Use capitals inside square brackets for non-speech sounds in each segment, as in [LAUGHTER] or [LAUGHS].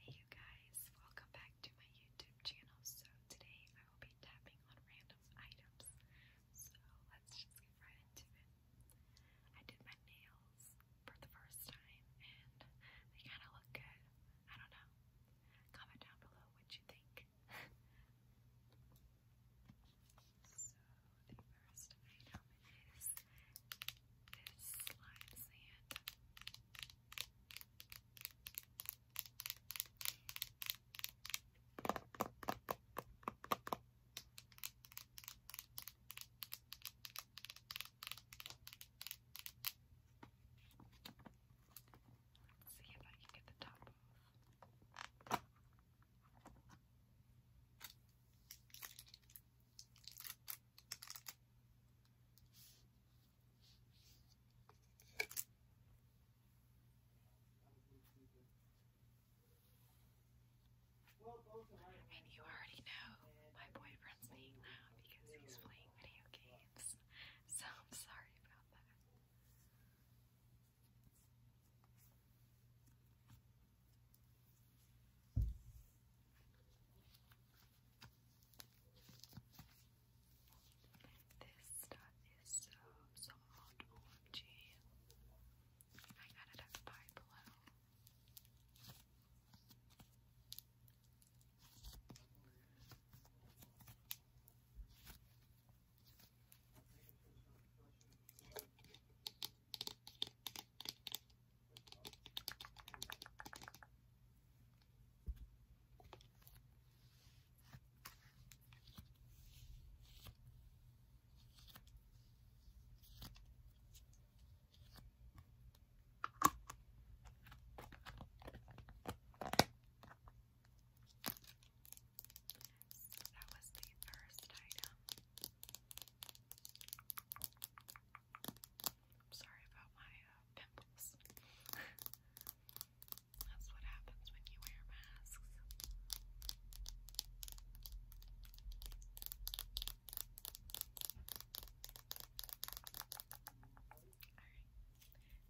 Hey you guys, welcome back to my YouTube channel. So today I will be tapping on random items. So let's just get right into it. I did my nails for the first time and they kind of look good. I don't know. Comment down below what you think. [LAUGHS] So the first item is there's slime Let's see if I can get the top off. And you already know my boyfriend's being loud because he's playing video games, so I'm sorry about that. This stuff is so soft, OMG. I got it at Buy Below. So that was the first item. I'm sorry about my uh, pimples. That's what happens when you wear masks. Alright, so the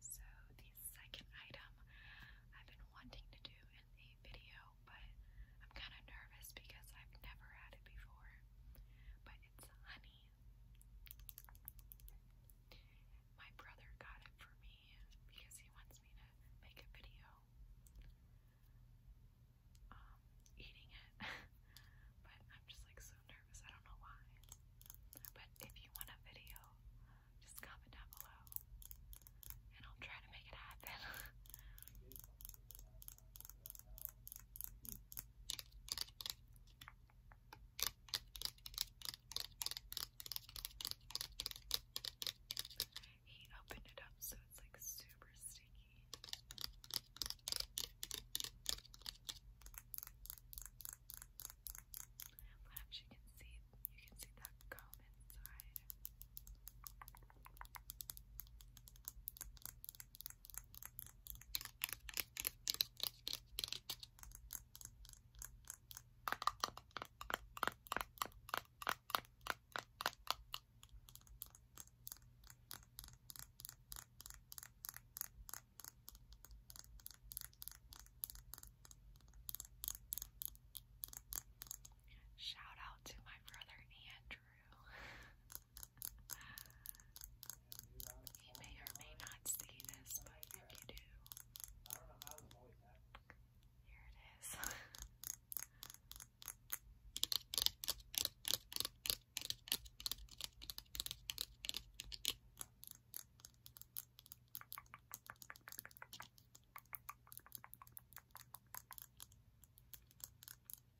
second item I've been wanting to do in a video, but I'm kind of nervous because I've never had it before. But it's honey. My brother got it for me because he wants me to make a video um, eating it. [LAUGHS] but I'm just like so nervous. I don't know why. But if you want a video, just comment down below and I'll try to make it happen. [LAUGHS] He opened it up so it's like super sticky. Perhaps you can see you can see that comb inside. Shout out to my brother and true. you may or may not see this, but if you do, here it is. Alright,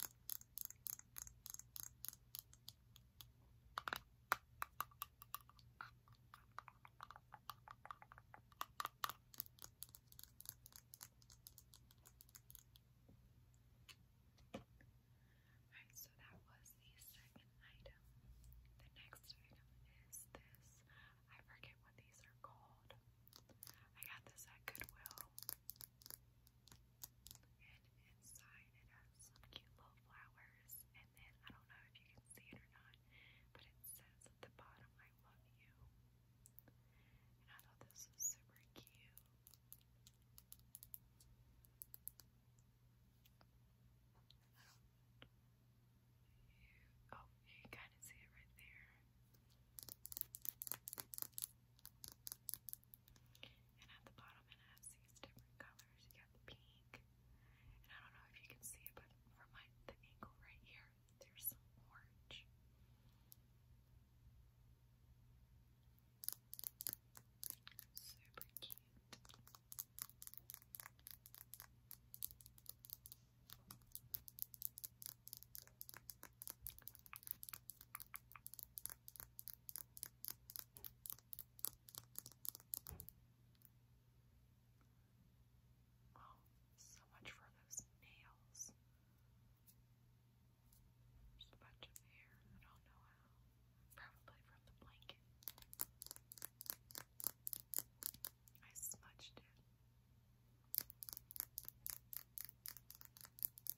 so that was the second item. The next item is this. I forget what these are called. I got this at Goodwill. And inside it has some cute little flowers. And then I don't know if you can see it or not, but it says at the bottom, I love you. And I thought this was super cute. I don't, you, oh, you can kind of see it right there. And at the bottom it has these different colors. You got the pink. And I don't know if you can see but from my the angle right here, there's some orange. Super cute. Wow, oh, so much for those nails. There's a bunch of hair. I don't know how. Probably from the blanket. I smudged it.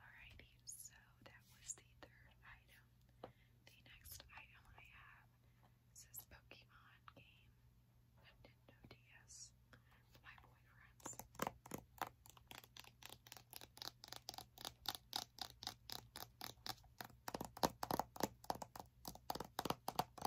Alrighty, so that was the third item. The next item I have says Pokemon game Nintendo DS. My boyfriend's.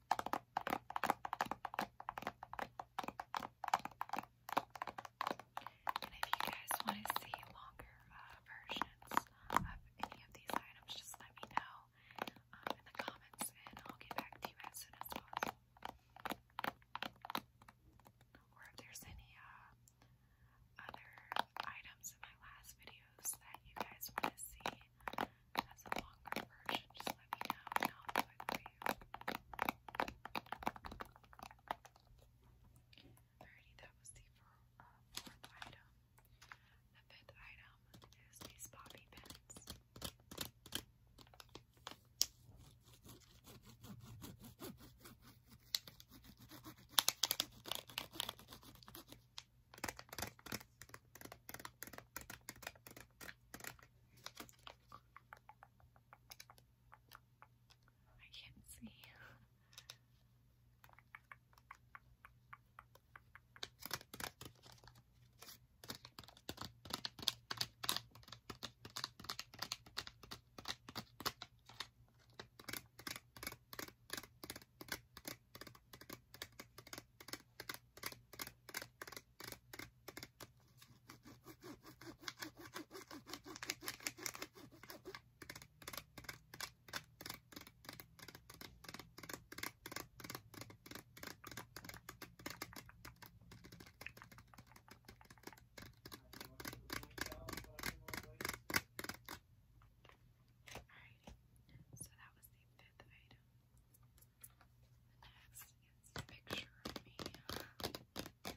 And if you guys want to see longer uh, versions of any of these items, just let me know um, in the comments and I'll get back to you as soon as possible. Or if there's any uh, other items in my last videos that you guys want to see, has a longer version, just let me know you. Alrighty, that was the uh, fourth item. The fifth item is these bobby pins. I can't see. Alrighty, so that was the fifth item. Next is a picture of me. Next,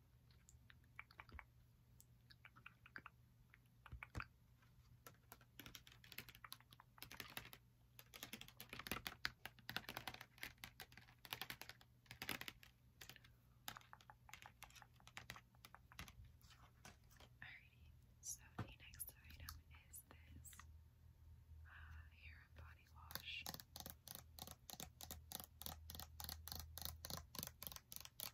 so the next item is this uh, hair and body wash.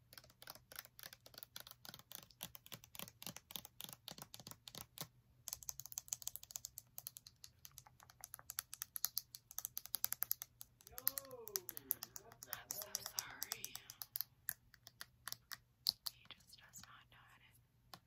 I'm so sorry. He just does not know how to be quiet.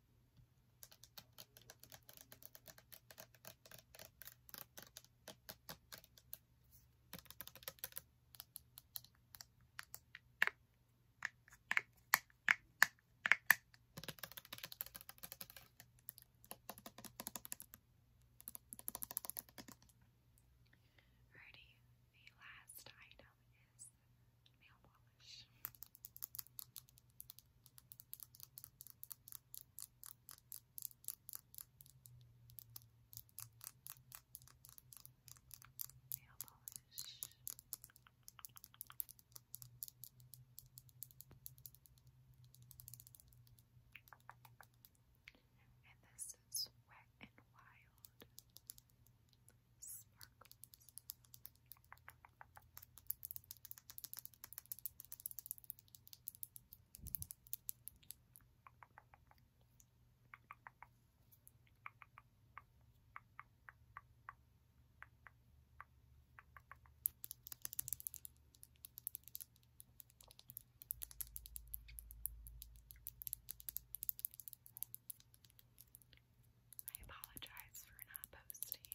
Alrighty, the last item is nail polish nail polish. And this is Wet and Wild sparkles. I apologize for not posting.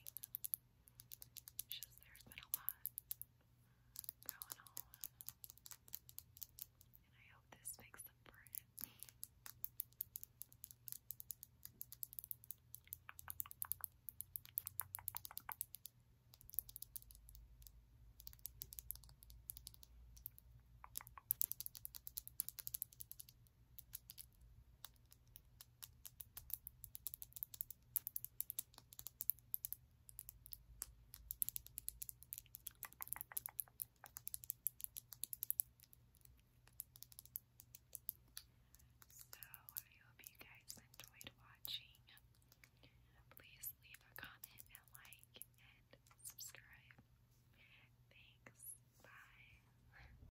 It's just there's been a lot going on. And I hope this makes them for it. So, I hope you guys enjoyed watching. Please leave a comment and like and subscribe. Thanks. Bye.